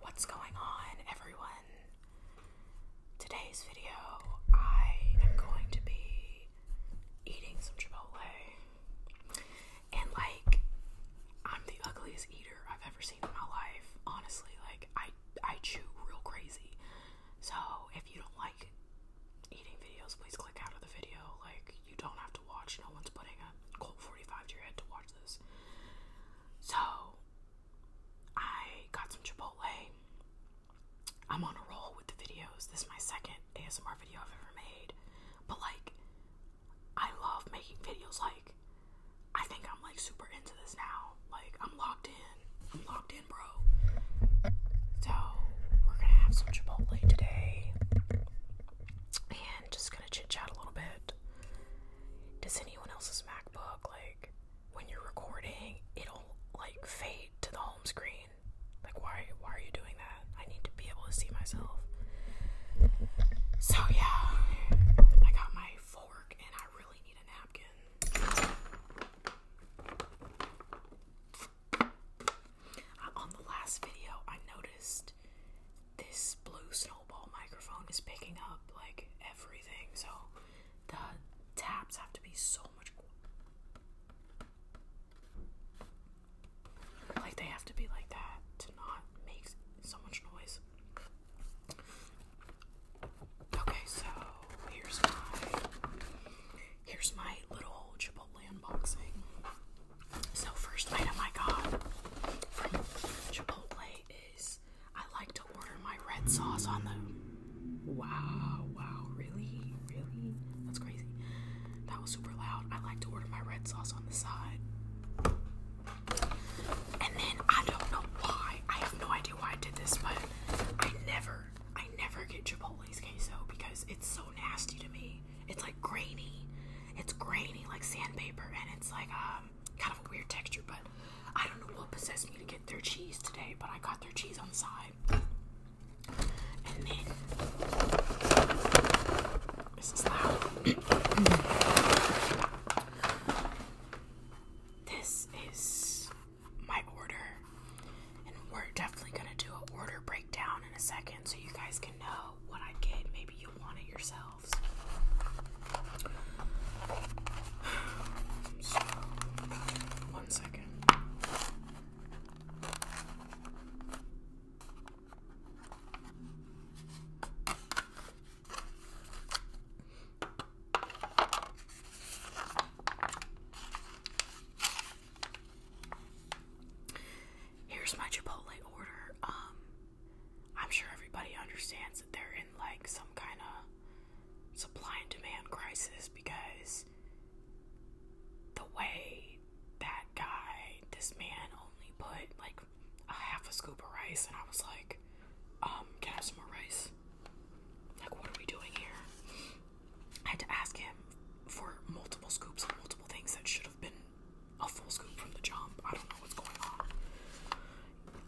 What's going on, everyone? Today's video, I am going to be eating some Chipotle. And, like, I'm the ugliest eater I've ever seen in my life. Honestly, like, I, I chew real crazy. So, if you don't like eating videos, please click out of the video. Like, you don't have to watch. No one's putting a Colt 45 to your head to watch this. So I got some Chipotle. I'm on a roll with the videos. This is my second ASMR video I've ever made. But like I love making videos like I think I'm like super into this now. Like I'm locked in. I'm locked in, bro. So we're gonna have some Chipotle today. And just gonna chit chat a little bit does anyone else's MacBook like when you're recording it'll like fade to the home screen? Like why why are you doing that? I need to be able to see myself. So yeah, I got my fork and I really need a napkin. Uh, on the last video I noticed this blue snowball microphone is picking up like everything, so the taps have to be so much like they have to be like that to not make so much noise. Okay, so here's my here's my little Chipotle unboxing. So first item I got from Chipotle is I like to order my red sauce on the. Wow, wow, really? Really? That's crazy. That was super loud. I like to order my red sauce on the side. And then I don't know why. I have no idea why I did this, but I never, I never get Chipotle's queso because it's so nasty to me. It's like grainy. It's grainy like sandpaper and it's like um. Um, kind of a weird texture, but I don't know what possessed me to get their cheese today, but I got their cheese on the side. this is loud. this is my order, and we're definitely gonna do an order breakdown in a second so you guys can know what I get. Maybe you want it yourself one second. Here's my Chipotle order. Um, I'm sure everybody understands that they're in like some kind of supply and demand crisis because the way that guy, this man, only put like a half a scoop of rice, and I was like, um, get us more rice? Like, what are we doing here? I had to ask him for multiple scoops of multiple things that should have been a full scoop from the jump. I don't know what's going on.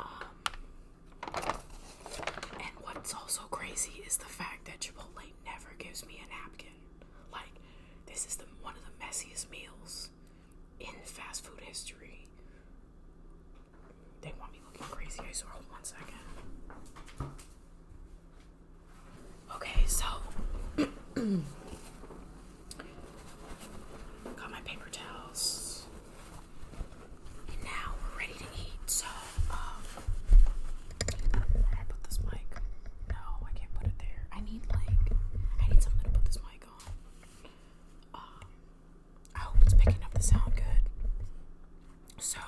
Um, and what's also crazy is the fact that Chipotle never gives me a napkin. Like, this is the one of the messiest meals in fast food history. They want me looking crazy. I saw hold one second. Okay, so Got my paper towels. And now we're ready to eat. So, um, where I put this mic? No, I can't put it there. I need like, I need something to put this mic on. Um, I hope it's picking up the sound good. So,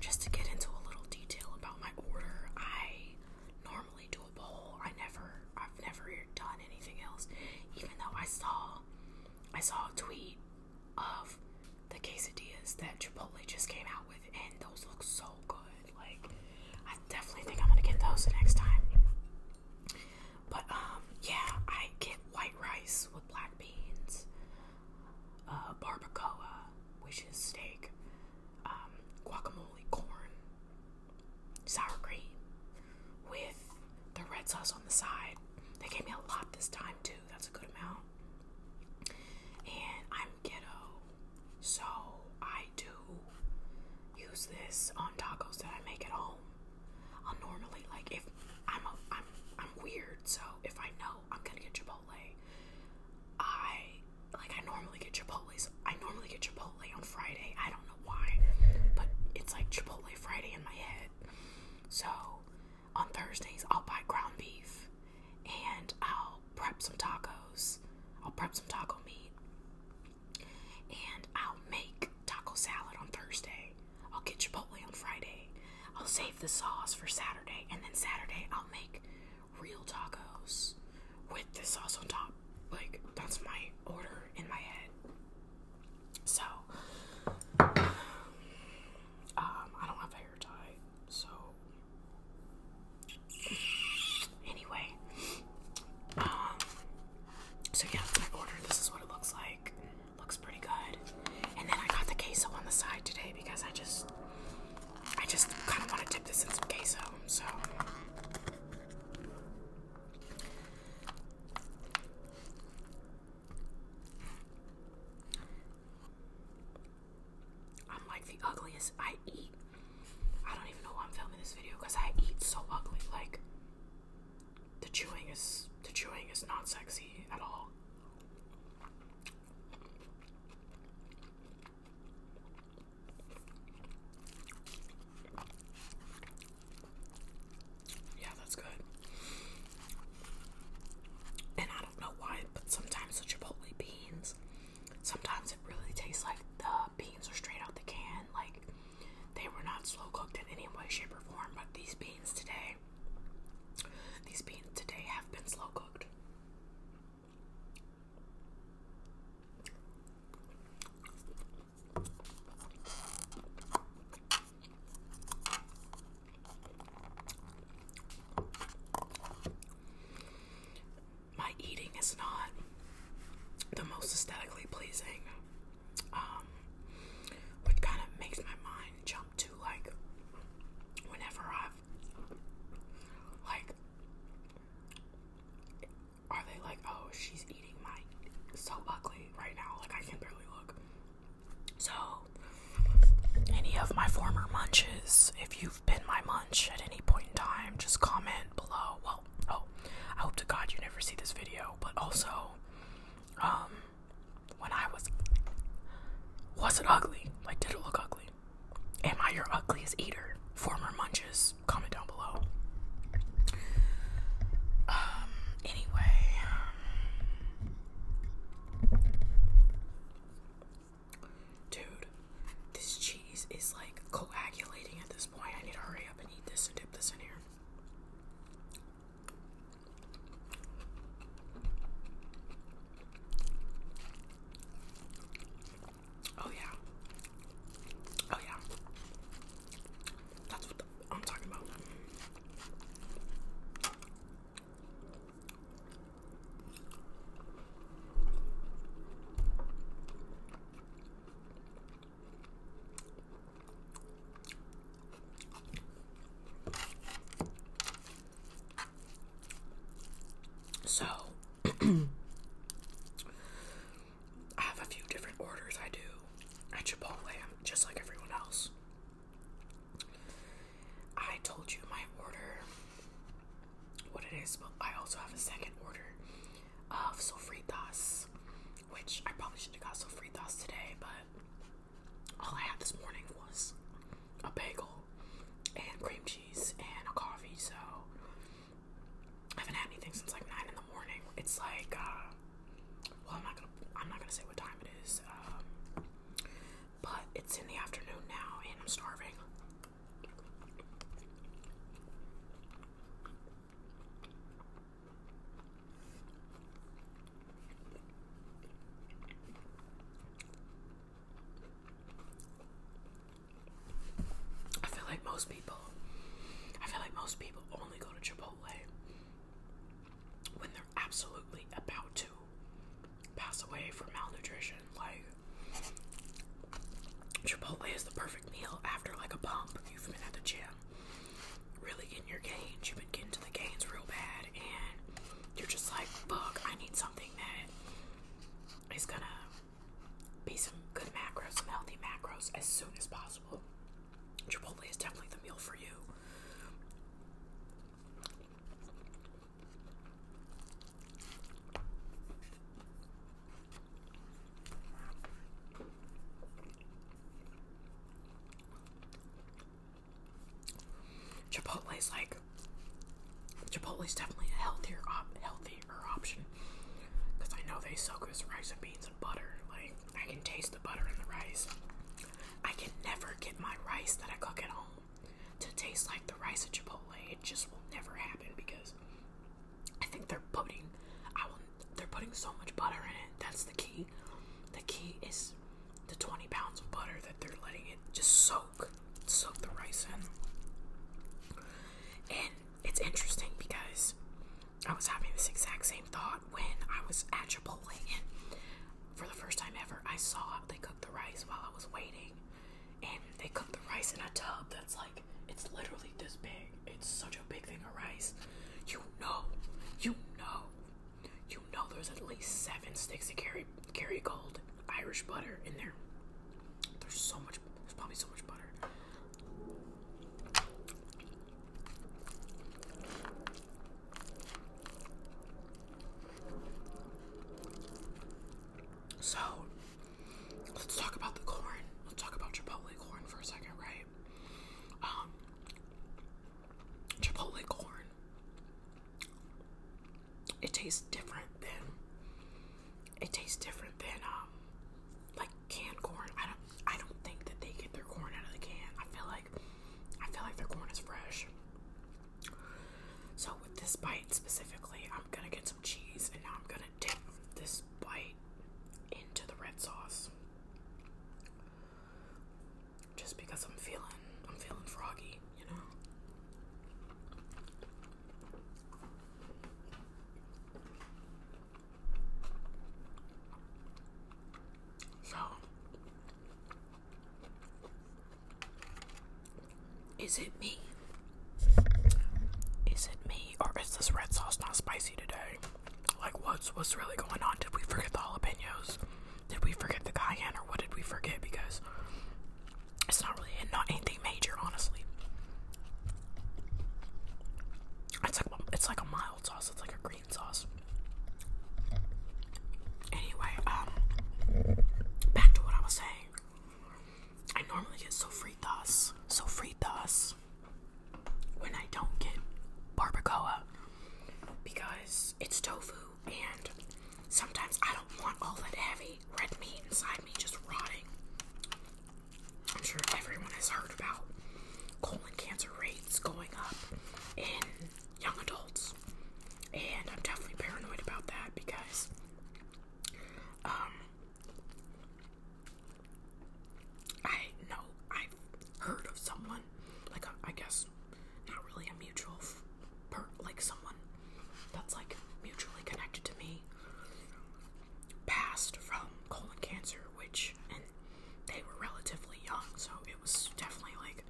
just to get into a little detail about my order, I normally do a bowl. I never I've never done anything else. Even though I saw I saw a tweet of the quesadillas that Chipotle just came out with and those look so good. Like I definitely think I'm gonna get those next time. But um yeah, I get white rice with black beans, uh barbacoa, which is steak, um, guacamole, corn, sour cream with the red sauce on the side. They gave me a lot this time, too. That's a good amount. And I'm ghetto, so I do use this on tacos that I make at home. I'll normally like if I'm a, I'm I'm weird, so if I know I'm gonna get Chipotle, I like I normally get Chipotle. So I normally get Chipotle on Friday. I don't know why, but it's like Chipotle Friday in my head. So on Thursdays, I'll buy ground beef and I'll prep some tacos. I'll prep some taco meat and I'll make taco salad on Thursday. I'll get Chipotle on Friday. I'll save the sauce for Saturday and then Saturday I'll make real tacos with the sauce on top. Like, that's my order in my head. So, um, I don't have a hair tie, so anyway, um, so yeah, I ordered. This is what it looks like. Looks pretty good. And then I got the queso on the side today because I just, I just kind of want to dip this in some queso. So. I'm like the ugliest. I eat. I don't even know why I'm filming this video because I eat so ugly. Like the chewing is the chewing is not sexy at all. Yeah, that's good. And I don't know why, but sometimes the Chipotle beans, sometimes it really tastes like the beans are straight out the can. Like they were not slow cooked in any way, shape, or form. But these beans today, these beans today have been slow cooked. My eating is not the most aesthetically pleasing, um, which kind of makes my mind jump to like whenever I've like, are they like, oh, she's eating my so ugly right now. Like I can barely look. So any of my former munches, if you've been my munch at any point in time, just comment below. Well, oh, I hope to God you never see this video, but also, um, when I was, was it ugly? Like, did it look ugly? Am I your ugliest eater? Former munches, comment down below. Um, Anyway, um, dude, this cheese is like coagulating at this point. I need to hurry up and eat this and dip this in here. Oh, yeah. Oh, yeah. That's what I'm talking about. So, I have a few different orders I do at Chipotle. I'm just like everyone else. I told you my order, what it is, but I also have a second order of sofritas, which I probably should have got sofritas today, but all I had this morning was a bagel and cream cheese and a coffee, so I haven't had anything since like 9 in the morning. It's like, uh, well, I'm not gonna I'm not gonna say what time it is, um, but it's in the afternoon now, and I'm starving. I feel like most people I feel like most people only go to Chipotle when they're absolutely about to pass away from malnutrition. Like, Chipotle is the perfect meal after like a pump. You've been at the gym, really in your gains. You've been getting to the gains real bad, and you're just like, fuck, I need something that is gonna be some good macros, some healthy macros as soon as possible possible. Chipotle is definitely the meal for you. Chipotle's like Chipotle's definitely a healthier healthier option because I know they soak this rice and beans and butter like I can taste the butter in the rice. I can never get my rice that I cook at home to taste like the rice at Chipotle. It just will never happen because I think they're putting I will they're putting so much butter in it. That's the key. The key is the 20 pounds of butter that they're letting it just soak soak the rice in. And it's interesting because I was having this exact same thought when I was at Chipotle for the first time ever I saw how they cooked the rice while I was waiting. And they cooked the rice in a tub that's like it's literally this big. It's such a big thing of rice. You know, you know, you know there's at least seven sticks of carry carry gold Irish butter in there. There's so much there's probably so much butter. So let's talk about the corn. Let's talk about Chipotle corn for a second, right? Um, Chipotle corn. It tastes different than it tastes different than um like canned corn. I don't I don't think that they get their corn out of the can. I feel I feel like their corn is fresh. So with this bite specifically, I'm gonna get some cheese and now I'm gonna dip this bite into the red sauce. Just because I'm feeling I'm feeling froggy, you know. So, is it me? Is it me? Or is this red sauce not spicy today? Like, what's, what's really going on? Did we forget the jalapenos? Did we forget the cayenne? Or what did we forget? Because it's not really not anything major, honestly. It's like, it's like a mile sauce. It's like a green sauce. Anyway, um, back to what I was saying. I normally get sofritas, sofritas, when I don't get barbacoa because it's tofu and sometimes I don't want all that heavy red meat inside me just rotting. I'm sure everyone has heard about colon cancer rates going up young adults. And I'm definitely paranoid about that because um I know I've heard of someone like I guess not really a mutual per, like someone that's like mutually connected to me passed from colon cancer which and they were relatively young, so it was definitely like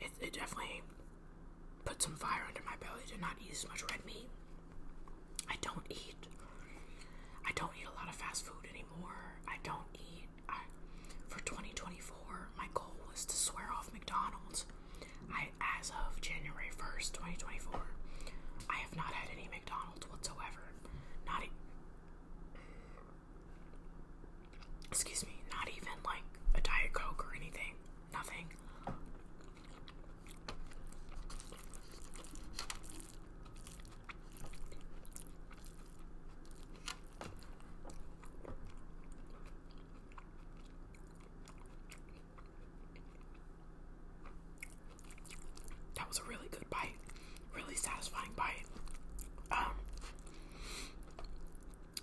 it, it definitely put some fire under my belly to not eat as much red meat. I don't eat. I don't eat a lot of fast food anymore. I don't eat. I, for 2024, my goal was to swear off McDonald's. I, as of January 1st, 2024, I have not had any McDonald's whatsoever. Not. Excuse me, not even like a Diet Coke or anything. Nothing. That was a really good bite really satisfying bite. Um,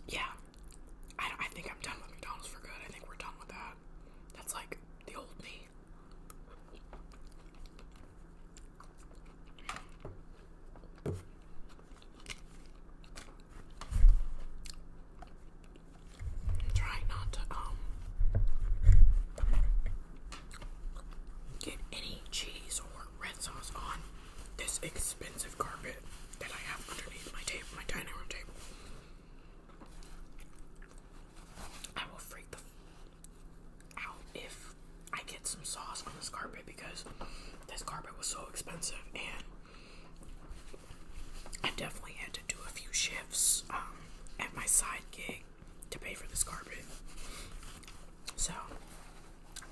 yeah, I, think I'm done with McDonald's for good. I think we're done with that. That's like the old me. trying not to um get any cheese or red sauce on this expensive carpet that I have underneath my table, my dining room table. I will freak the f out if I get some sauce on this carpet because this carpet was so expensive and I definitely had to do a few shifts um, at my side gig to pay for this carpet. So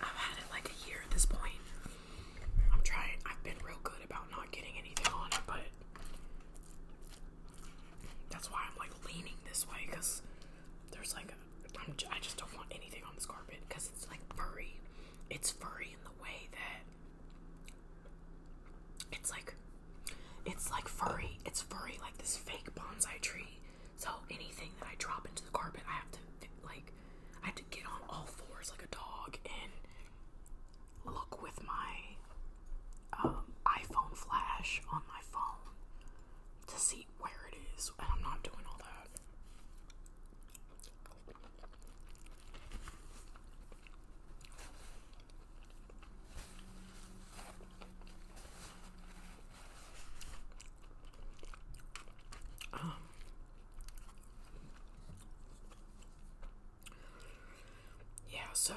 I've had it like a year at this point. I'm trying, I've been real good about not getting anything on it, but that's why I'm like leaning this way because there's like, I just don't want anything on this carpet because it's like furry. It's furry in the way that it's like, it's like furry. It's furry like this fake bonsai tree so anything that I drop into the carpet, I have to like I have to get on all fours like a dog and look with my um, iPhone flash on my phone to see where it is, and I'm not doing all that. Um, yeah, so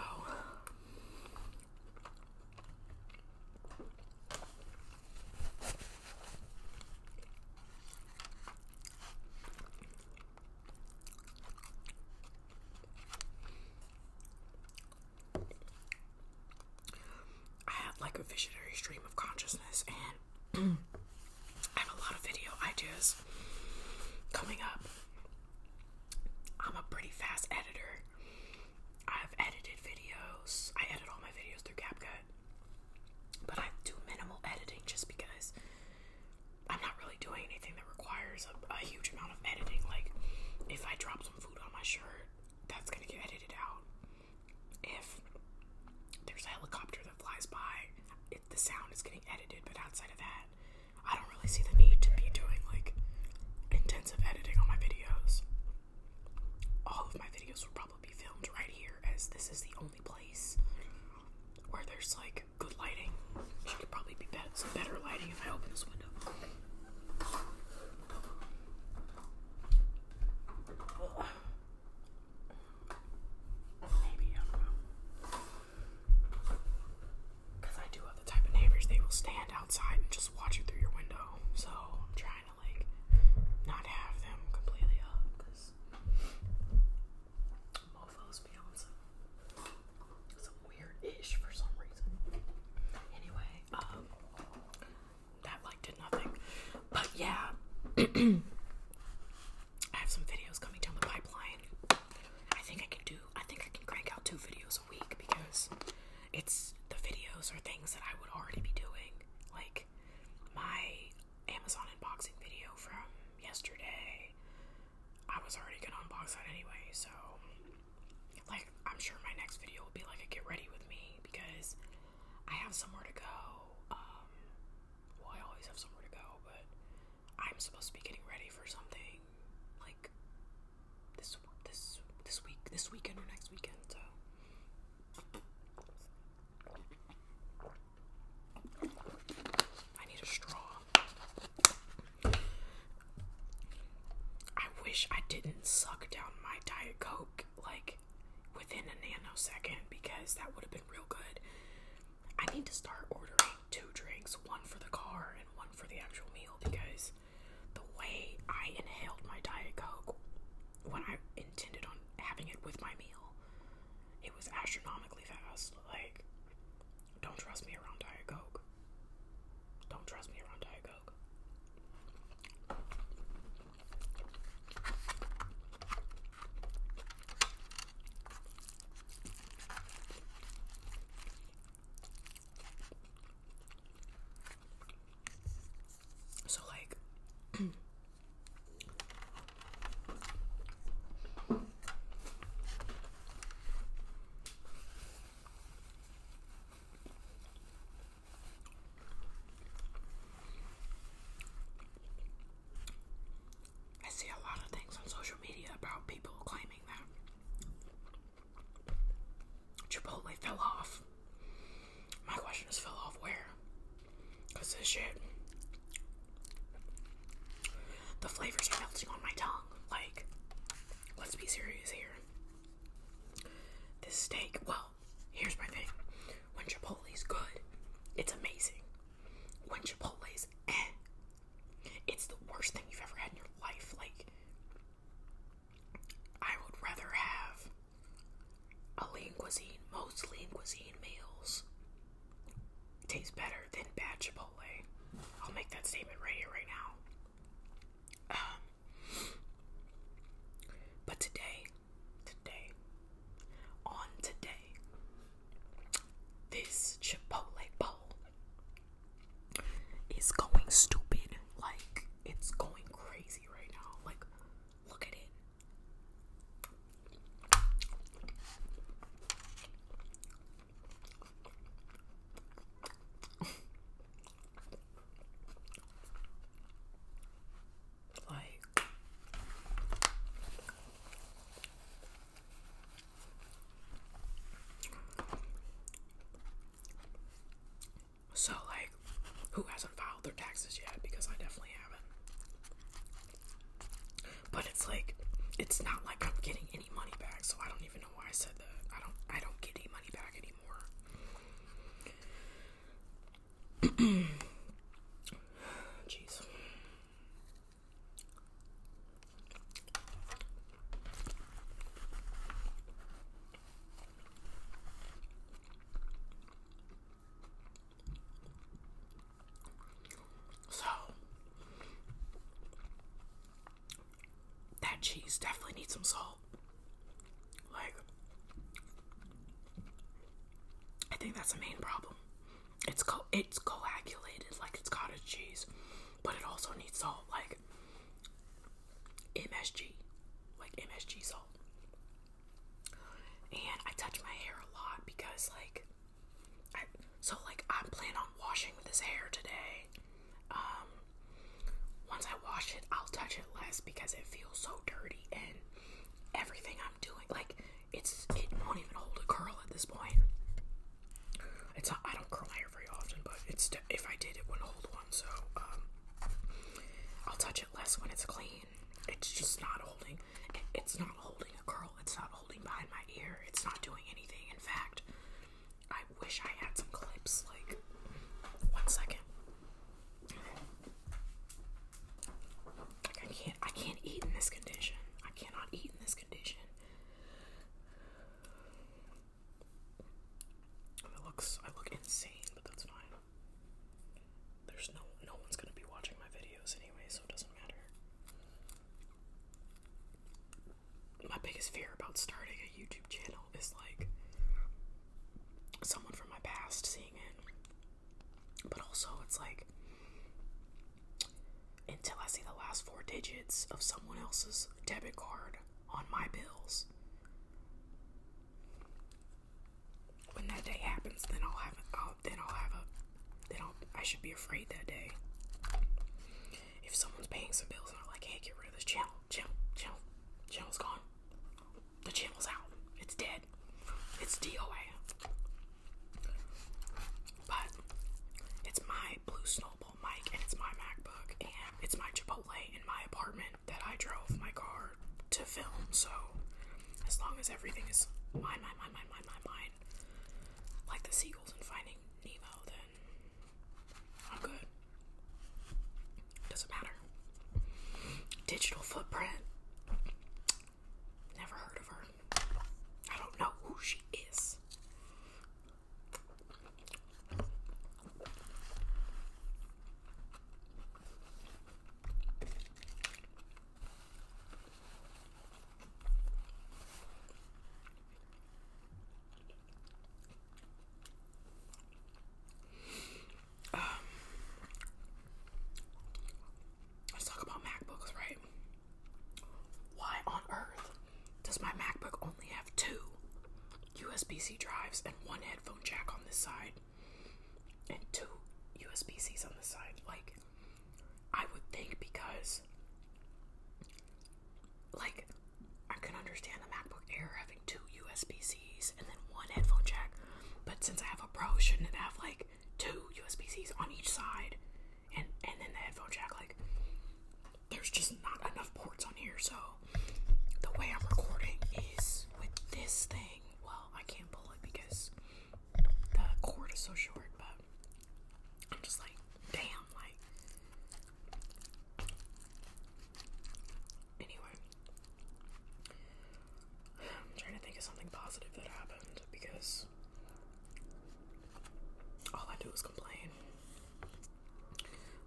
I have like a visionary stream of consciousness, and I have a lot of video ideas coming up. I'm a pretty fast editor. I've edited videos. I edit all my videos through CapCut. But I do minimal editing just because I'm not really doing anything that requires a, a huge amount of editing. Like, if I drop some food on my shirt, that's gonna get edited out if there's a helicopter that flies by, the sound is getting edited, but outside of that, I don't really see the need to be doing like intensive editing on my videos. All of my videos will probably be filmed right here, as this is the only place where there's like good lighting. She could probably be better, some better lighting if I open this window. Maybe, I do Because I do have the type of neighbors, they will stand outside and just watch you through your window. So I'm trying to, like, not have them completely up because mofos be on some, some weird ish for some reason. Anyway, um, that like did nothing. But yeah, I have some videos coming down the pipeline. I think I can do. I think I can crank out two videos a week because it's the videos are things that I would already be doing, like my Amazon unboxing video from yesterday. I was already gonna unbox that anyway, so like I'm sure my next video will be like a get ready with me because I have somewhere to go. Um, well, I always have somewhere to go, but I'm supposed to be getting ready for something like this this this week, this weekend or next weekend. So. I need a straw. I wish I didn't suck down my Diet Coke like within a nanosecond because that would have been real good. I need to start ordering two drinks, one for the car and one for the actual meal because the way I inhaled my Diet Coke when I intended on having it with my meal, it was astronomically fast. Like, don't trust me around Diet Coke. Don't trust me around Diet Coke. So, like, I see a lot of things on social media about people claiming that Chipotle fell off. My question is, fell off where? Because this shit. The flavors are melting on my tongue. Like, let's be serious here. This steak, well, here's my thing. When Chipotle's good, it's amazing. When Chipotle's eh, it's the worst thing you've ever had in your life. Like, I would rather have a lean cuisine. Most lean cuisine meals taste better than bad Chipotle. I'll make that statement right here, right now. Um, but today, today, on today, this Chipotle bowl is going stupid. Like, it's going crazy right now. Like, look at it. Like, so, like, who hasn't filed their taxes yet? Because I definitely haven't. But it's like, it's not like I'm getting any money back, so I don't even know why I said that. I don't, I don't get any money back anymore. Jeez. So that cheese definitely needs some salt. Like, I think that's the main problem. It's co it's coagulated, like it's cottage cheese, but it also needs salt, like MSG, like MSG salt. And I touch my hair a lot because, like, I, so like I plan on washing this hair today. Um, once I wash it, I'll touch it less because it feels so dirty and everything I'm doing. Like it's it won't even hold a curl at this point. It's I don't curl my hair very often, but it's if I did, it wouldn't hold one. So um, I'll touch it less when it's clean. It's just not holding. it's not holding a curl. It's not holding behind my ear. It's not doing anything. In fact, I wish I had some clips. Like one second. I can't I can't eat in this condition. I cannot eat in this condition. It looks I look insane, but that's fine. There's no no one's gonna be watching my videos anyway, so it doesn't matter. My biggest fear about starting a YouTube channel is like someone from my past seeing it but also, it's like until I see the last four digits of someone else's debit card on my bills. When that day happens, then I'll have then I'll have a then I should be afraid that day. If someone's paying some bills and I'm like, hey, get rid of this channel, channel, channel, channel's gone. The channel's out. It's dead it's DOA. But it's my blue snowball mic and it's my MacBook and it's my Chipotle in my apartment that I drove my car to film. So as long as everything is mine, mine, mine, mine, mine, mine, like the seagulls in Finding Nemo, then I'm good. Doesn't matter. Digital footprint. Never heard of her. I don't know who she is. Um, let's talk about MacBooks, right? Why on earth does my MacBook only have two USB C drives and one headphone jack on this side and two USB Cs on the side? Like, I would think because, like, I can understand the MacBook Air having two USB Cs and then one headphone jack, but since I have a Pro, shouldn't it have like two USB Cs on each side, and and then the headphone jack. Like, there's just not enough ports on here. So the way I'm recording is with this thing. Well, I can't pull it because the cord is so short. But I'm just like, damn, like. Anyway, I'm trying to think of something positive that happened because all I do is complain.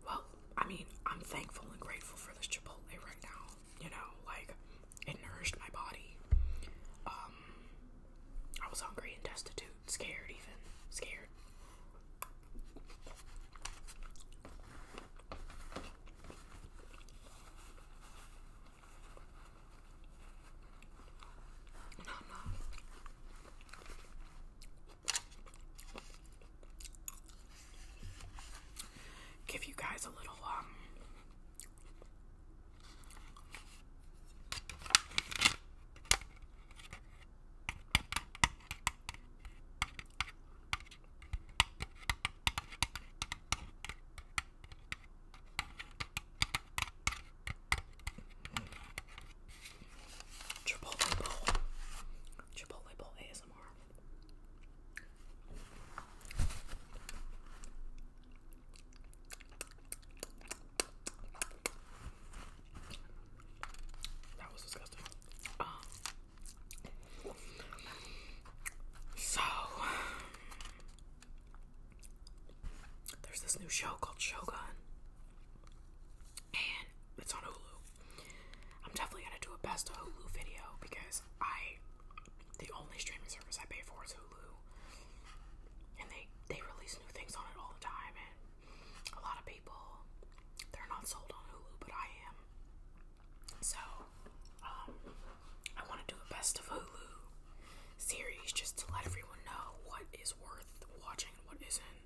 Well, I mean, I'm thankful and grateful for this Chipotle right now. You know, like it nourished my body. Um, I was hungry and destitute, scared, even scared. Give you guys a little um Chipotle bowl. Chipotle bowl ASMR. That was disgusting. Um, so there's this new show called Shogun, and it's on Hulu. I'm definitely gonna do a best of Hulu video because I, the only streaming service I pay for is Hulu, and they they release new things on it all the time. And a lot of people, they're not sold on Hulu, but I am. So, um, I want to do the best of Hulu series just to let everyone know what is worth watching and what isn't.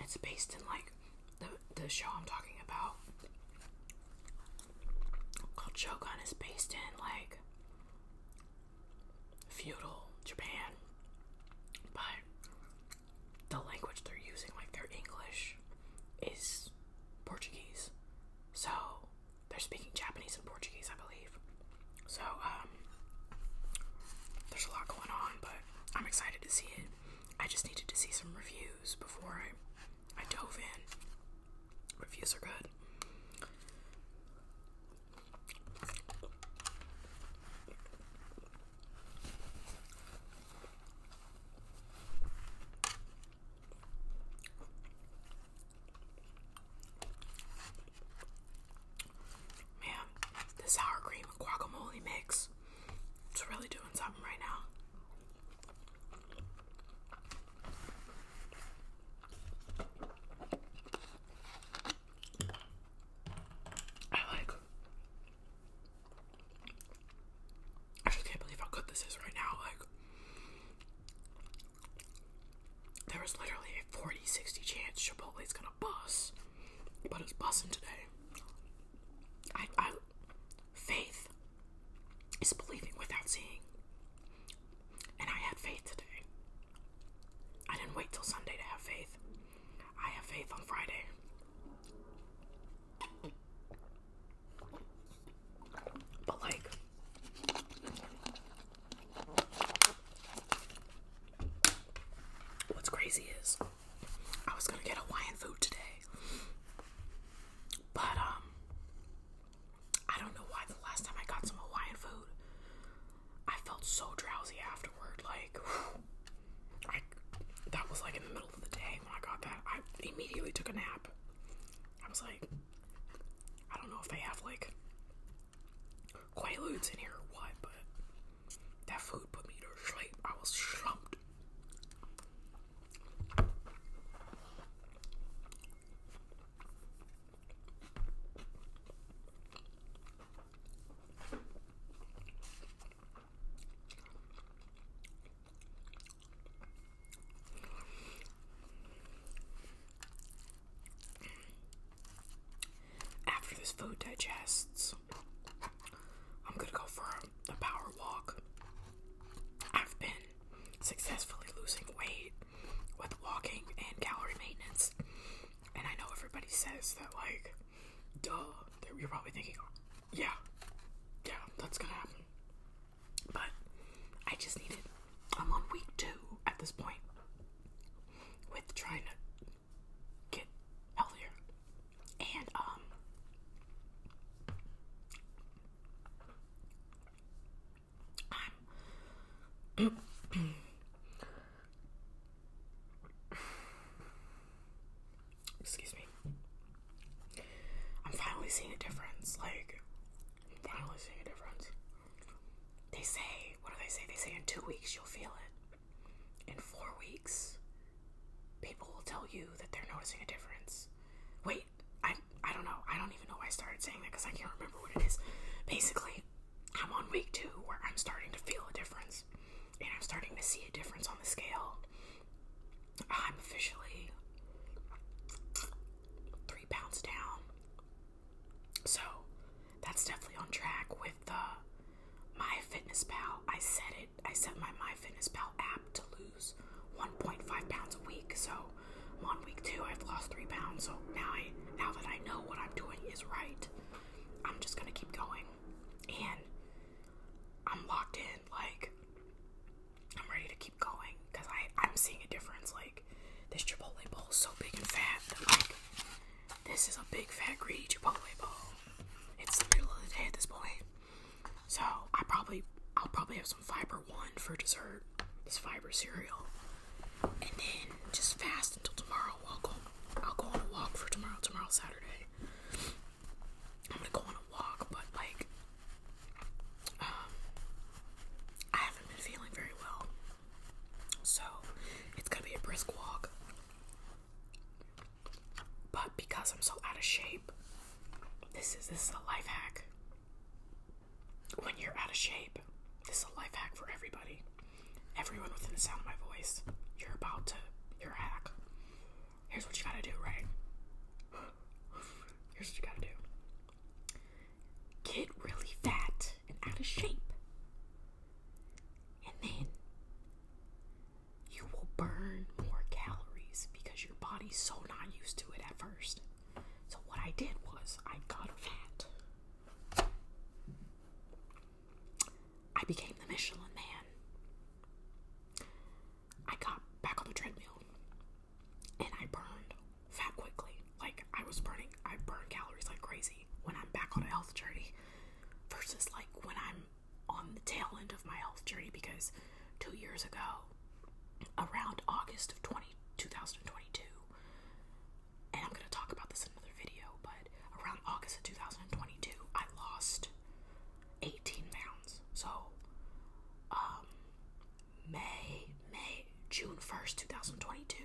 It's based in like the the show I'm talking about called on is based in like feudal Japan, but the language they're using, like their English, is Portuguese. So they're speaking Japanese and Portuguese, I believe. So, um, there's a lot going on, but I'm excited to see it. I just needed to see some reviews before I, I dove in. Reviews are good. Man, the sour cream and guacamole mix. It's really doing something right now. I like. I just can't believe how good this is right now. Like, there literally a 40 60 chance Chipotle's gonna bust, but it's busting today. I, I, faith is believing without seeing, and I had faith today. I didn't wait till Sunday to have faith. I have faith on Friday. But, like, what's crazy is I was gonna get Hawaiian food today, but, um, I don't know why the last time I got some Hawaiian food, I felt so drowsy afterward. Like, that was like in the middle of the day when I got that. I immediately took a nap. I was like, I don't know if they have like quail Quaaludes in here or what, but that food put me to sleep. I was slumped. After this food digests, I'm gonna go for a, power walk. I've been successfully losing weight with walking and calorie maintenance. And I know everybody says that, like, duh, you're probably thinking, yeah, yeah, that's gonna happen. But I just needed, I'm on week two at this point with trying to get healthier. And, um, excuse me. I'm finally seeing a difference. Like, I'm finally seeing a difference. They say, what do they say? They say in two weeks you'll feel it. In four weeks, people will tell you that they're noticing a difference. Wait, I I don't know. I don't even know why I started saying that because I can't remember what it is. Basically, I'm on week two where I'm starting to feel a difference and I'm starting to see a difference on the scale. I'm officially three pounds down. So that's definitely on track with the My Fitness Pal. I set it I set my My Fitness Pal app to lose 1.5 pounds a week. So i on week two. I've lost three pounds, so now I now that I know what I'm doing is right, I'm just gonna keep going, and I'm locked in. Like I'm ready to keep going because I I'm seeing a difference. Like this Chipotle bowl is so big and fat like this is a big fat greedy Chipotle bowl. It's the middle of the day at this point, so I probably I'll probably have some fiber one for dessert this fiber cereal, and then just fast until tomorrow. I'll go. I'll go on a walk for tomorrow. Tomorrow Saturday. I'm gonna go on a walk, but like, um, I haven't been feeling very well, so it's gonna be a brisk walk. But because I'm so out of shape, this is this is a life hack when you're out of shape, this is a life hack for everybody. Everyone within the sound of my voice, you're about to, you hack. Here's what you gotta do, right? Here's what you gotta do get really fat and out of shape, and then you will burn more calories because your body's so not used to it at first. So, what I did was, I got fat I became the Michelin man. I got back on the treadmill and I burned fat quickly. Like I was burning, I burn calories like crazy when I'm back on a health journey versus like when I'm on the tail end of my health journey because two years ago, around August of 2022, and I'm gonna talk about this in another video, but around August of 2022, I lost 18 pounds. So, um, May, May, June 1st, 2022,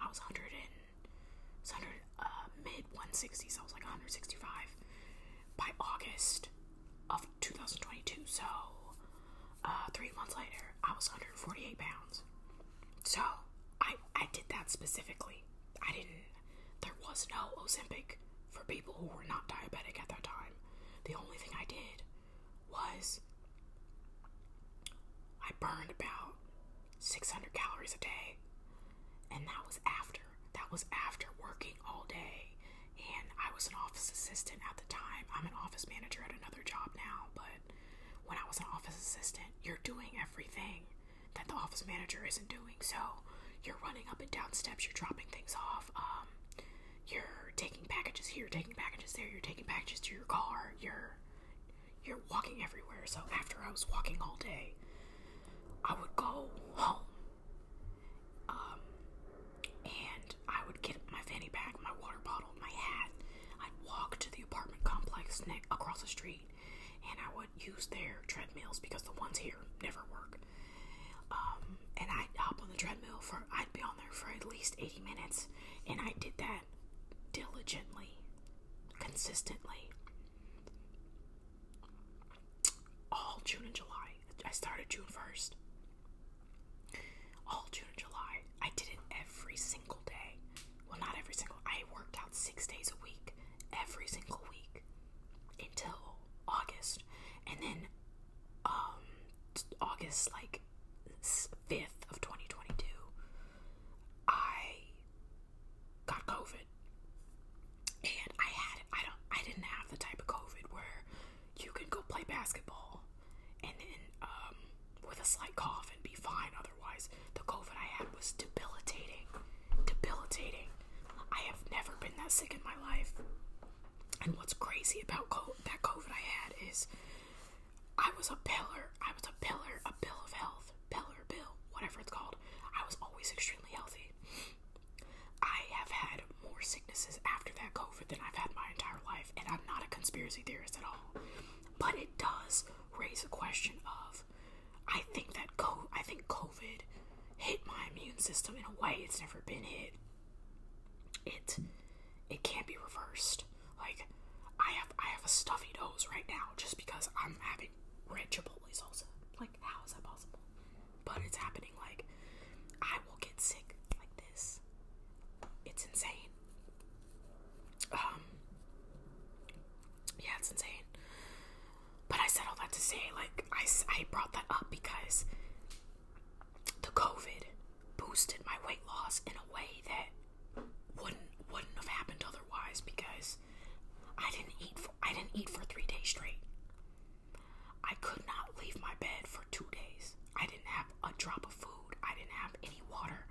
I was 100 and, was 100, uh, mid 160s, I was like 165 by August of 2022. So, uh, three months later, I was 148 pounds. So I I did that specifically. I didn't. There was no Ozempic for people who were not diabetic at that time. The only thing I did was I burned about 600 calories a day, and that was after. That was after working all day, and I was an office assistant at the time. I'm an office manager at another job now, but when I was an office assistant. You're doing everything that the office manager isn't doing. So you're running up and down steps, you're dropping things off, um, you're taking packages here, taking packages there, you're taking packages to your car, you're you're walking everywhere. So after I was walking all day, I would go home. Um, and I would get my fanny pack, my water bottle, my hat, I'd walk to the apartment complex across the street, and I would use their treadmills because the ones here never work. Um, and I'd hop on the treadmill for I'd be on there for at least 80 minutes, and I did that diligently, consistently. All June and July. I started June 1st. All June and July. I did it every single day well, not every single, I worked out six days a week, every single week until August. And then, um, August, like, 5th of 2022, I got COVID. And I had, I don't, I didn't have the type of COVID where you can go play basketball and then, um, with a slight cough and be fine otherwise. The COVID I had was debilitating. Debilitating. I have never been that sick in my life. And what's crazy about COVID that COVID I had is I was a pillar. I was a pillar, a bill of health, pillar, bill, whatever it's called. I was always extremely healthy. I have had more sicknesses after that COVID than I've had my entire life, and I'm not a conspiracy theorist at all. But it does raise a question of I think that co- I think COVID hit my immune system in a way it's never been hit. It it can't be reversed. Like I have I have a stuffy nose right now just because I'm having red chipotle salsa. Like how is that possible? But it's happening. Like I will get sick like this. It's insane. Um, yeah, it's insane. But I said all that to say, like, I, I brought that up because the COVID boosted my weight loss in a way that wouldn't wouldn't have happened otherwise because I didn't eat for I didn't eat for three days straight. I could not leave my bed for two days. I didn't have a drop of food. I didn't have any water.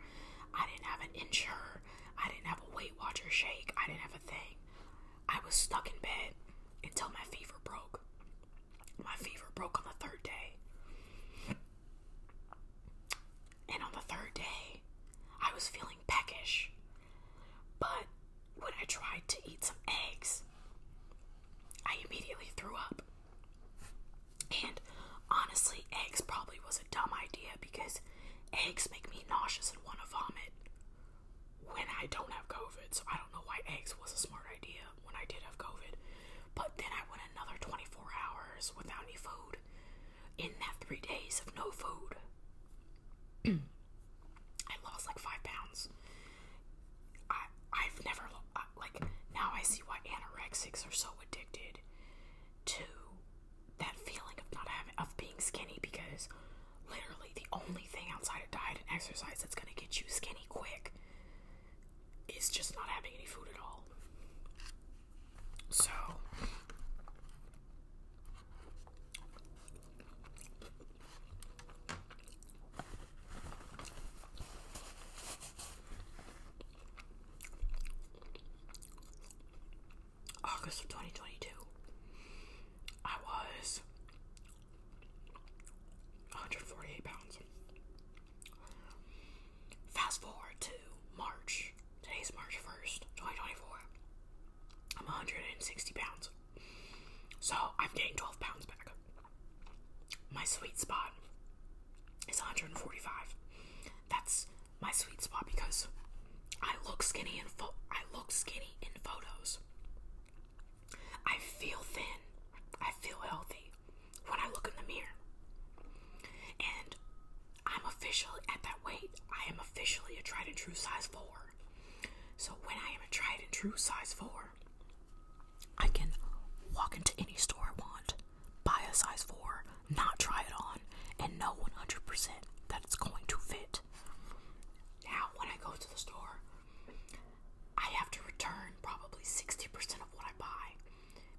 I didn't have an insurance. I didn't have a Weight Watcher shake. I didn't have a thing. I was stuck in bed until my fever broke. My fever broke on the third day. And on the third day, I was feeling peckish. But when I tried to eat some eggs, I immediately threw up. And honestly, eggs probably was a dumb idea because eggs make me nauseous and want to vomit when I don't have COVID. So I don't know why eggs was a smart idea when I did have COVID. But then I went another 24 hours without any food in that three days of no food. I lost like five pounds. I I've never like now I see why anorexics are so addicted to that feeling of not having of being skinny because literally the only thing outside of diet and exercise that's gonna get you skinny quick is just not having any food at all. So August of 2022, I was 148 pounds. Fast forward to March. Today's March 1st, 2024. I'm 160 pounds. So I've gained 12 pounds back. My sweet spot is 145. That's my sweet spot because I look skinny in I look skinny in photos. I feel thin. I feel healthy when I look in the mirror. And I'm officially at that weight. I am officially a tried and true size 4. So when I am a tried and true size 4, I can walk into any store I want buy a size 4, not try it on, and know 100% that it's going to fit. Now, when I go to the store, I have to return probably 60% of what I buy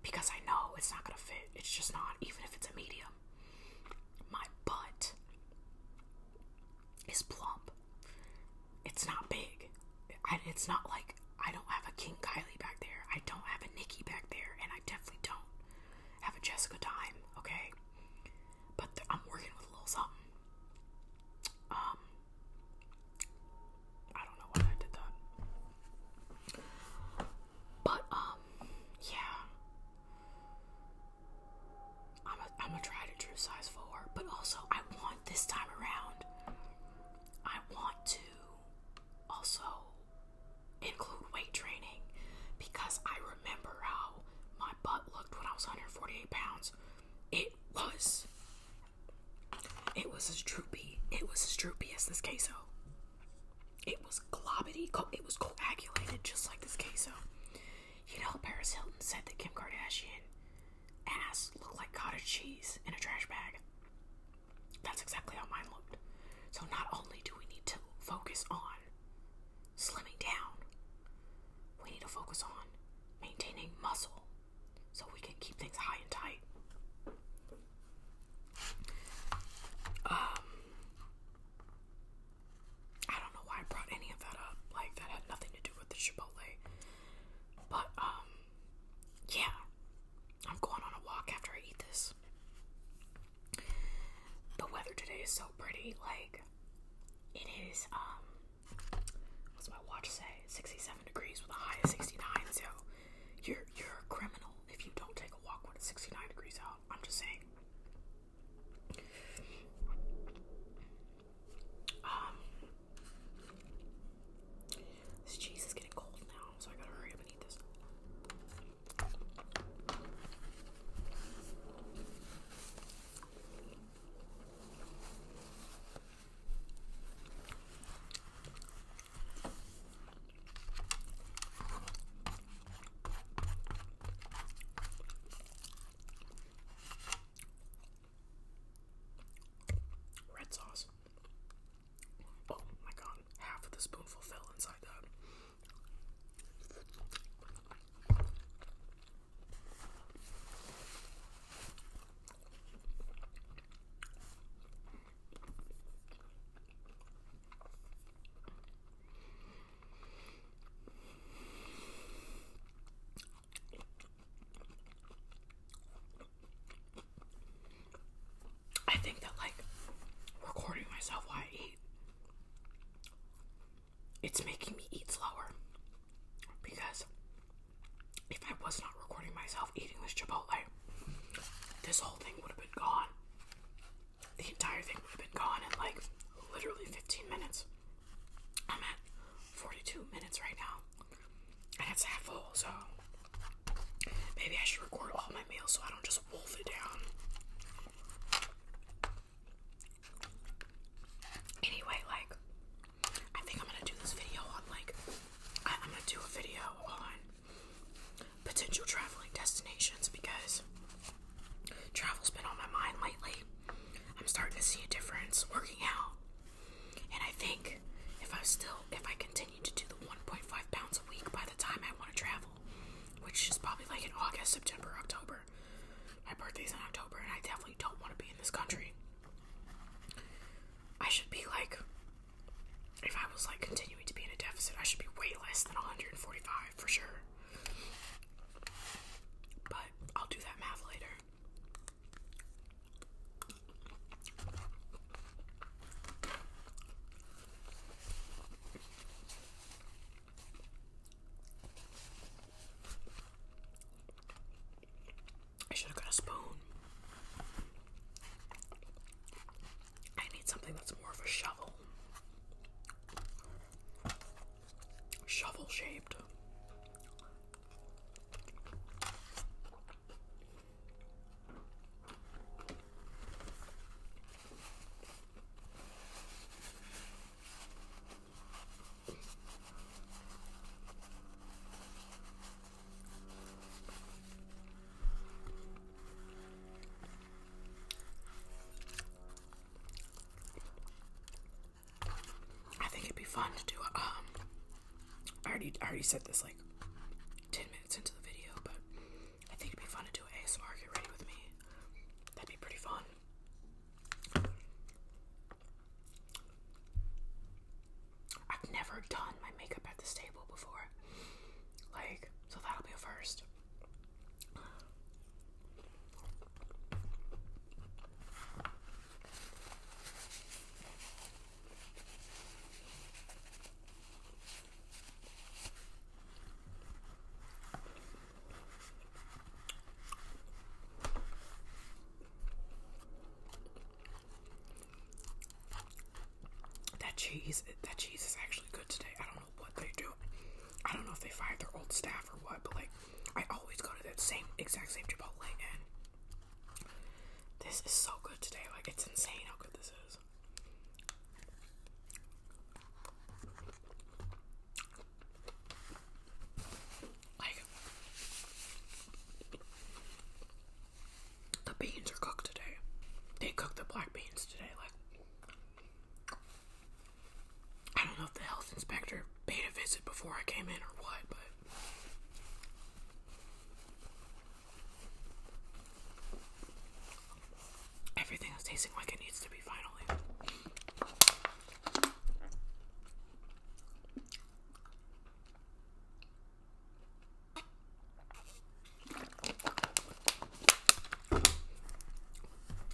because I know it's not going to fit. It's just not, even if it's a medium. My butt is plump. It's not big. It's not like I don't have a King Kylie back there. I don't have a Nikki back there. And I definitely don't have a Jessica time, okay? But th- I'm working with a little something. Um, I don't know why I did that. But um, yeah, I'm a I'm a tried and true size four. But also, I want this time around. I want to also include weight training because I remember how my butt looked when I was 148 pounds. It was. It was as droopy. It was as droopy as this queso. It was globbity. It was coagulated just like this queso. You know, Paris Hilton said that Kim Kardashian ass looked like cottage cheese in a trash bag. That's exactly how mine looked. So, not only do we need to focus on slimming down, we need to focus on maintaining muscle so we can keep things high and tight. Um, I don't know why I brought any of that up. Like, that had nothing to do with the Chipotle. But, um, yeah. I'm going on a walk after I eat this. The weather today is so pretty, like it is um what's my watch say? 67 degrees with a high of 69, so you're you're a criminal if you don't take a walk when it's 69 degrees out. I'm just saying. Um this cheese is getting cold now, so I gotta hurry up and eat this. Red sauce. Oh my god, half of the spoonful fell inside that. I think that like recording myself while I eat it's making me eat slower because if I was not recording myself eating this Chipotle, this whole thing would have been gone. The entire thing would have been gone in like literally 15 minutes. I'm at 42 minutes right now, I and it's half full, so maybe I should record all my meals so I don't just wolf it down. Anyway, like, I think I'm gonna do this video on, like, I, am gonna do a video on potential traveling destinations because travel's been on my mind lately. I'm starting to see a difference working out. And I think if I still, if I continue to do the 1.5 pounds a week by the time I want to travel, which is probably like in August, September, October. My birthday's in October, and I definitely don't want to be in this country. I should be like, if I was like continuing to be in a deficit, I should be way less than 145 for sure. But I'll do that math later. I should have got a spoon. I need something that's more of a shovel. Shovel shaped. I think it'd be fun to do um I already I already said this like 10 minutes into the video, but I think it'd be fun to do an ASMR get ready with me. That'd be pretty fun. I've never done my makeup at this table before. Like, so that'll be a first. That cheese, that cheese is actually good today. I don't know what they do. I don't know if they fire their old staff or what, but like, I always go to that same exact same Chipotle, and this is so good today. Like, it's insane how good this is. Like the beans are cooked today. They cooked the black beans today. Like I don't know if the health inspector paid a visit before I came in or what, but. Everything is tasting like it needs to be finally.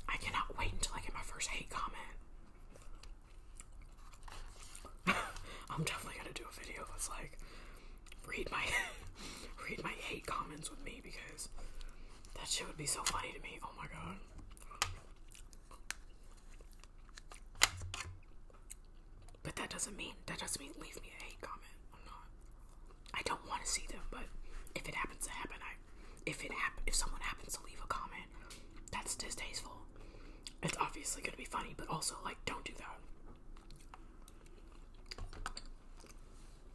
I cannot wait until I get my first hate comment. I'm definitely gonna do a video that's like, read my read my hate comments with me because that shit would be so funny to me. Oh my god. But that doesn't mean that doesn't mean leave me a hate comment. I'm not. I don't want to see them, but if it happens to happen, I if it happen if someone happens to leave a comment, that's distasteful. It's obviously gonna be funny, but also like don't do that.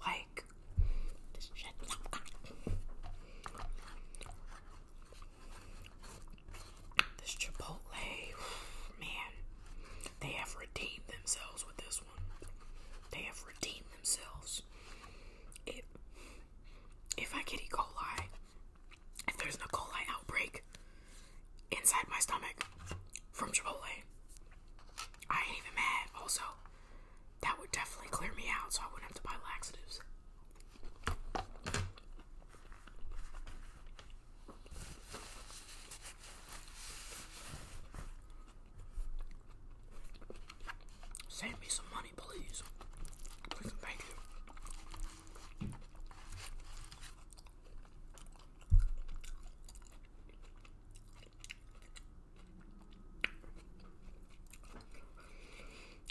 Like this shit. This Chipotle, man, they have redeemed themselves with this they have redeemed themselves. It, if I get E. coli, if there's an E. coli outbreak inside my stomach from Chipotle, I ain't even mad. Also, that would definitely clear me out so I wouldn't have to buy laxatives. Send me some money, Please, thank you.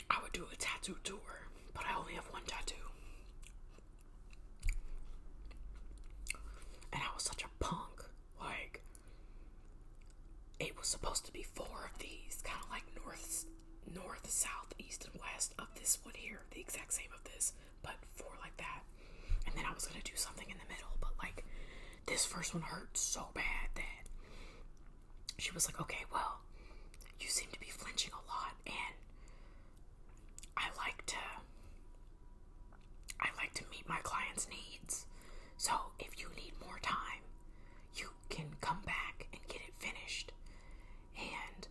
I would do a tattoo tour, but I only have one tattoo. And I was such a punk. Like, it was supposed to be four of these, kind of like north, north, south, east, and west of this one here, the exact same of this, but four like that. And then I was gonna do something in the middle, but like this first one hurt so bad that she was like, "Okay, well, you seem to be flinching a lot, and I like to I like to meet my clients' needs. So if you need more time, you can come back and get it finished. And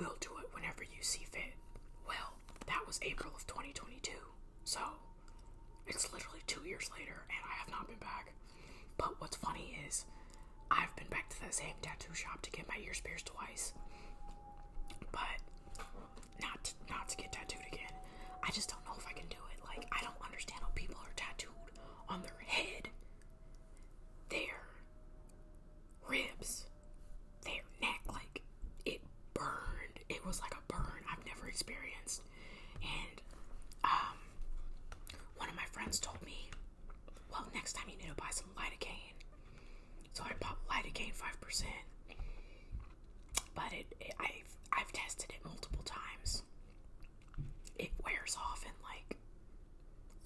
we'll do it whenever you see fit. Well, that was April of 2022. So it's literally two years later and I have not been back. But what's funny is I've been back to that same tattoo shop to get my ears pierced twice. But not to, not to get tattooed again. I just don't know if I can do it. Like I don't understand how people are tattooed on their head, their ribs, their neck. Like it burned. It was like a burn I've never experienced. And um, one of my friends told me, well, next time you need to buy some lidocaine. So I bought lidocaine five percent but it, I've I've tested it multiple times. It wears off in like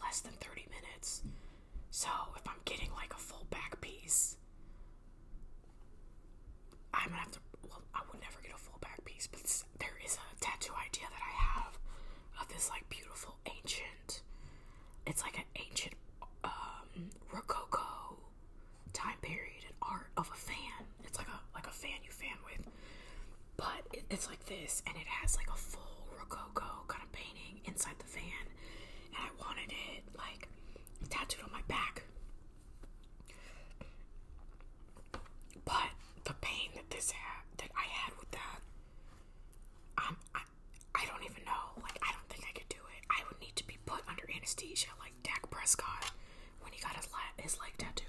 less than 30 minutes. So if I'm getting like a full back piece, I'm gonna have to. Well, I would never get a full back piece, but there is a tattoo idea that I have of this like beautiful ancient. It's like an ancient um, Rococo time period and art of a fan. It's like a like a fan you fan with, but it's like this, and it has like a full rococo kind of painting inside the fan, and I wanted it like tattooed on my back. But the pain that this had, that I had with that, um, I, I don't even know. Like I don't think I could do it. I would need to be put under anesthesia like Dak Prescott when he got his, his leg tattoo.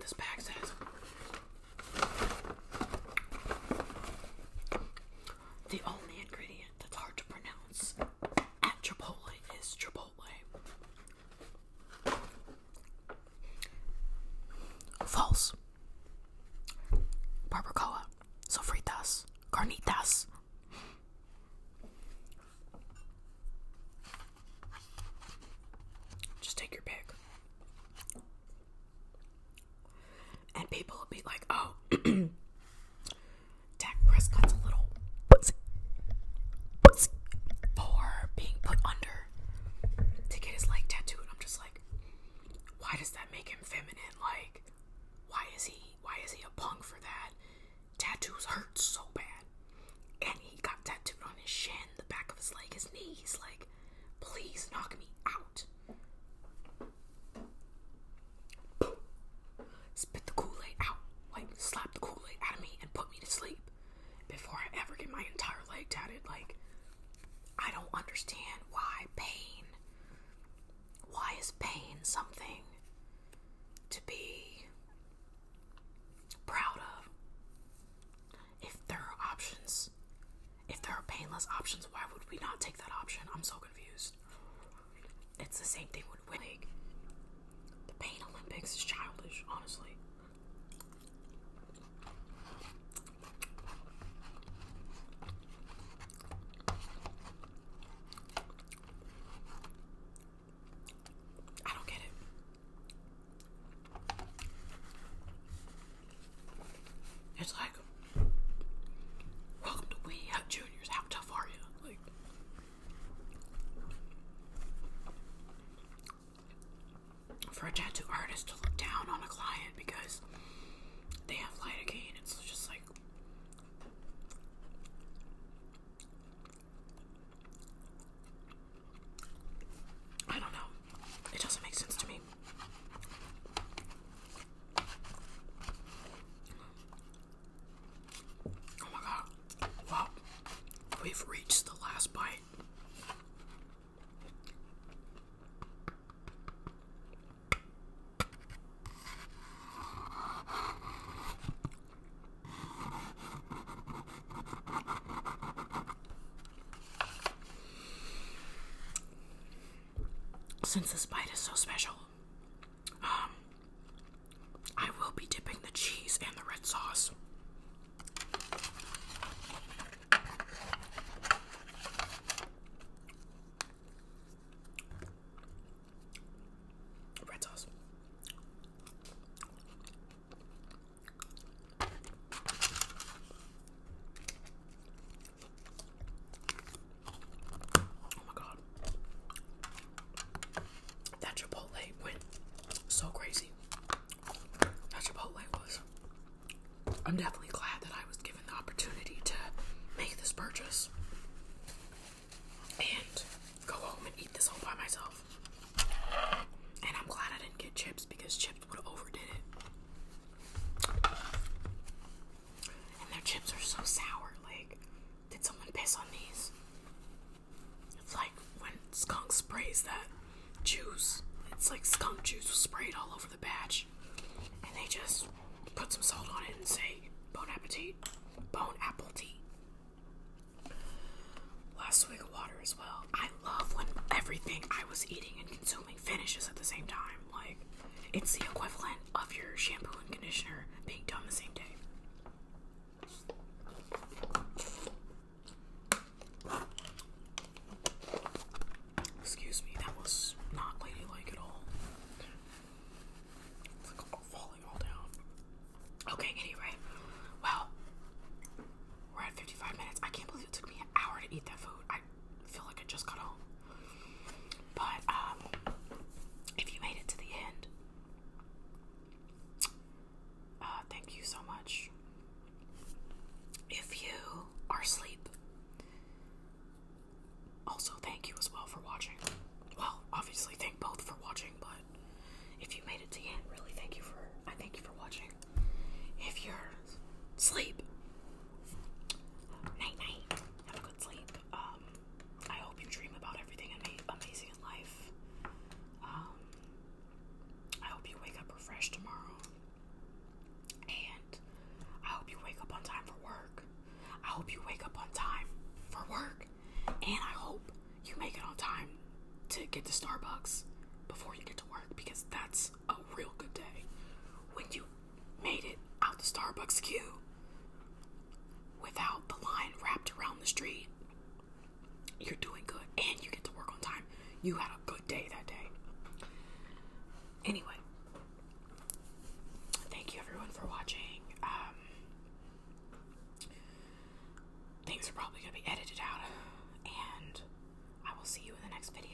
This bag says the only ingredient that's hard to pronounce at Chipotle is Chipotle. False. Barbacoa, sofritas, carnitas. Just take your pick. And people will be like, oh, Dak Prescott's a little pussy, pussy for being put under to get his leg tattooed. I'm just like, why does that make him feminine? Like, why is he why is he a punk for that? Tattoos hurt so bad. And he got tattooed on his shin, the back of his leg, his knees, like, please knock me out. Spit the Kool Aid out. Like, slap the Kool Aid out of me and put me to sleep before I ever get my entire leg tatted. Like, I don't understand why pain. Why is pain something to be proud of? If there are options if there are painless options, why would we not take that option? I'm so confused. It's the same thing with winning. The Pain Olympics is childish, honestly. I don't get it. It's like welcome to We Juniors. How tough are you? for a tattoo artist to look down on a client because they have lidocaine, it's just like. I don't know. It doesn't make sense to me. Oh my god. Wow. We've reached the last bite. Since this bite is so special, um, I will be dipping the cheese and the red sauce. Red sauce. Oh my god. That Chipotle went so crazy. That Chipotle was. I'm definitely glad that I was given the opportunity to make this purchase and go home and eat this all by myself. And I'm glad I didn't get chips because chips would have overdid it. And their chips are so sour. Like, did someone piss on these? It's like when skunk sprays that juice. It's like skunk juice was sprayed all over the batch. And they just put some salt on it and say, Bon appetit. Bone apple tea. Last swig of water as well. I love when everything I was eating and consuming finishes at the same time. Like, it's the equivalent of your shampoo and conditioner being done the same day. Excuse me, that was not ladylike at all. It's like all falling all down. Okay, anyway. Well, we're at 55 minutes. I can't believe it took me an hour to eat that food. I feel like I just got home. But um, if you made it to the end, uh, thank you so much. If you are asleep, also thank you as well for watching. Well, obviously thank both for watching, but if you made it to the end, really thank you for I thank you for watching. If you're asleep, night night, have a good sleep. Uh, um, I hope you dream about everything amazing in life. Um, I hope you wake up refreshed tomorrow. And I hope you wake up on time for work. I hope you wake up on time for work. And I hope you make it on time to get to Starbucks before you get to work because that's a real good day. When you made it out the Starbucks queue without the line wrapped around the street, you're doing good and you get to work on time. You had a good day that day. Anyway, thank you everyone for watching. Um, things are probably going to be edited out, and I will see you in the next video.